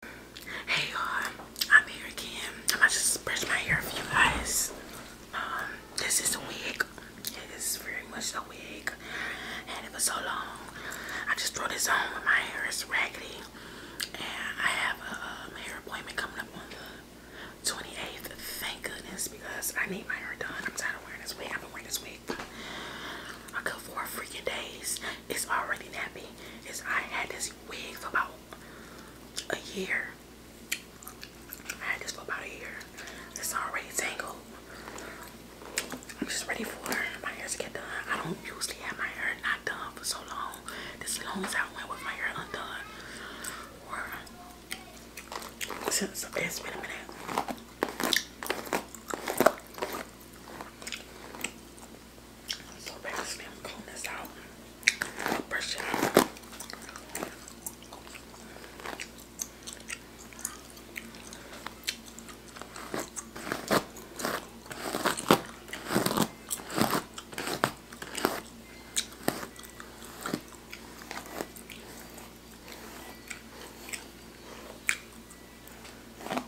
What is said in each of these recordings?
Hey y'all, I'm here again. i about to just brush my hair for you guys. Um, this is a wig. It is very much a wig. And it was so long. I just throw this on when my hair is raggedy. And I have a um, hair appointment coming up on the 28th. Thank goodness because I need my hair done. I'm tired of wearing this wig. I've been wearing this wig for four freaking days. It's already nappy is I had this wig for about a year. I had this for about a year. It's already tangled. I'm just ready for my hair to get done. I don't usually have my hair not done for so long. This long as I went with my hair undone. Or since it's been a minute. I'm so past me. I'm combing this out. I'll brush it out. I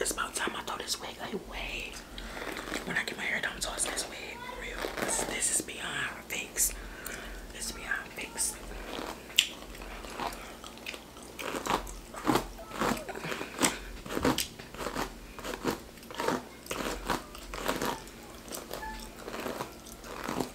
It's about time I throw this wig away. When I get my hair done, so it's this wig real. This, this is beyond fix. This is beyond fix.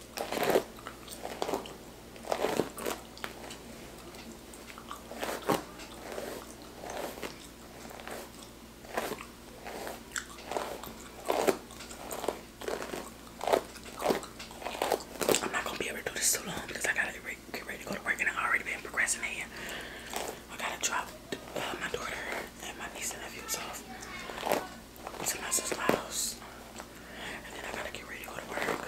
I'm not gonna be able to do this too long because I gotta get ready to go to work and I already been progressing here. I gotta drop uh, my daughter and my niece and nephews off to my sister's house. And then I gotta get ready to go to work.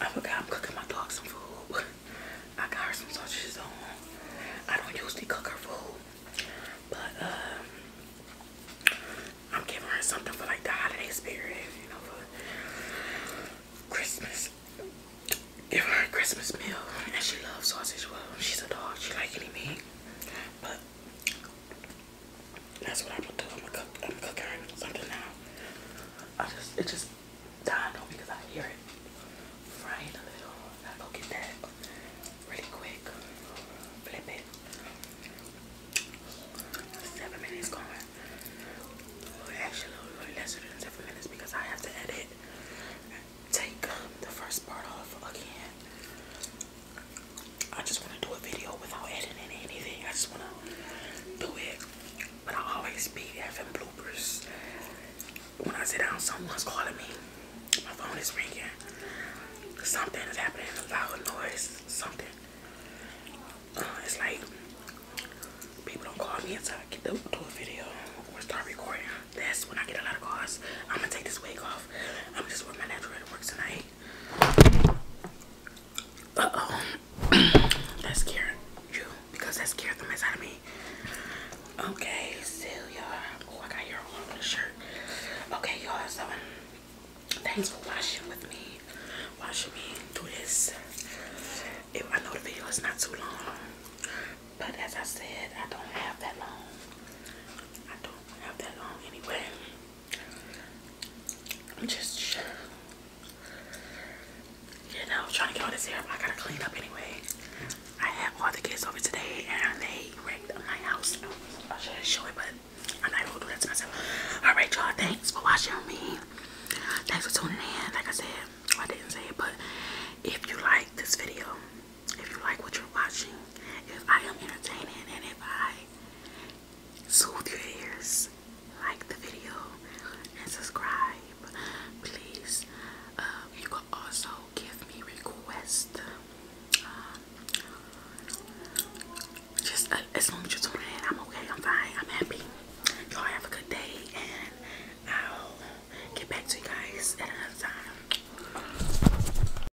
I forgot I'm cooking my dog some food. I got her some sausages on. I don't usually cook her food, but um, I'm giving her something for like the holiday spirit, you know, for Christmas. Give her a Christmas meal, and she loves sausage. Well, she's a dog. She like any meat, but that's what I'm gonna do. I'm gonna cook. I'm cooking something now. I just it just dawned on me because I hear it frying a little. I go get that really quick. Flip it. Seven minutes going. Actually, a little less than seven minutes because I have to edit. Take um, the first part off again. I just want to do a video without editing anything. I just want to do it. But I will always be having bloopers. When I sit down, someone's calling me. My phone is ringing. Something is happening. Loud noise. Something. Uh, it's like people don't call me until I get to do a video or start recording. That's when I get a lot of calls. I'm gonna take this wig off. I'm just wearing my natural work tonight oh. that scared you because that scared the mess out of me. Okay, so you Oh, I got your on the shirt. Okay, y'all. So, um, thanks for watching with me. Watching me do this. I know the video is not too long, but as I said, I don't have that long. I don't have that long anyway. I'm just, you know, trying to get all this hair. I gotta clean up anyway. I had all the kids over today and they wrecked my house. I shouldn't show it, but I'm not able to do that to myself. Alright, y'all. Thanks for watching me. Thanks for tuning in. Like I said, I didn't say it, but if you like this video, if you like what you're watching, if I am entertaining, and if I soothe your ears, like the video, and subscribe. Please, um, you can also give me requests. Um, just uh, as long as you tune in, I'm okay, I'm fine, I'm happy. Y'all have a good day, and I'll get back to you guys at another time.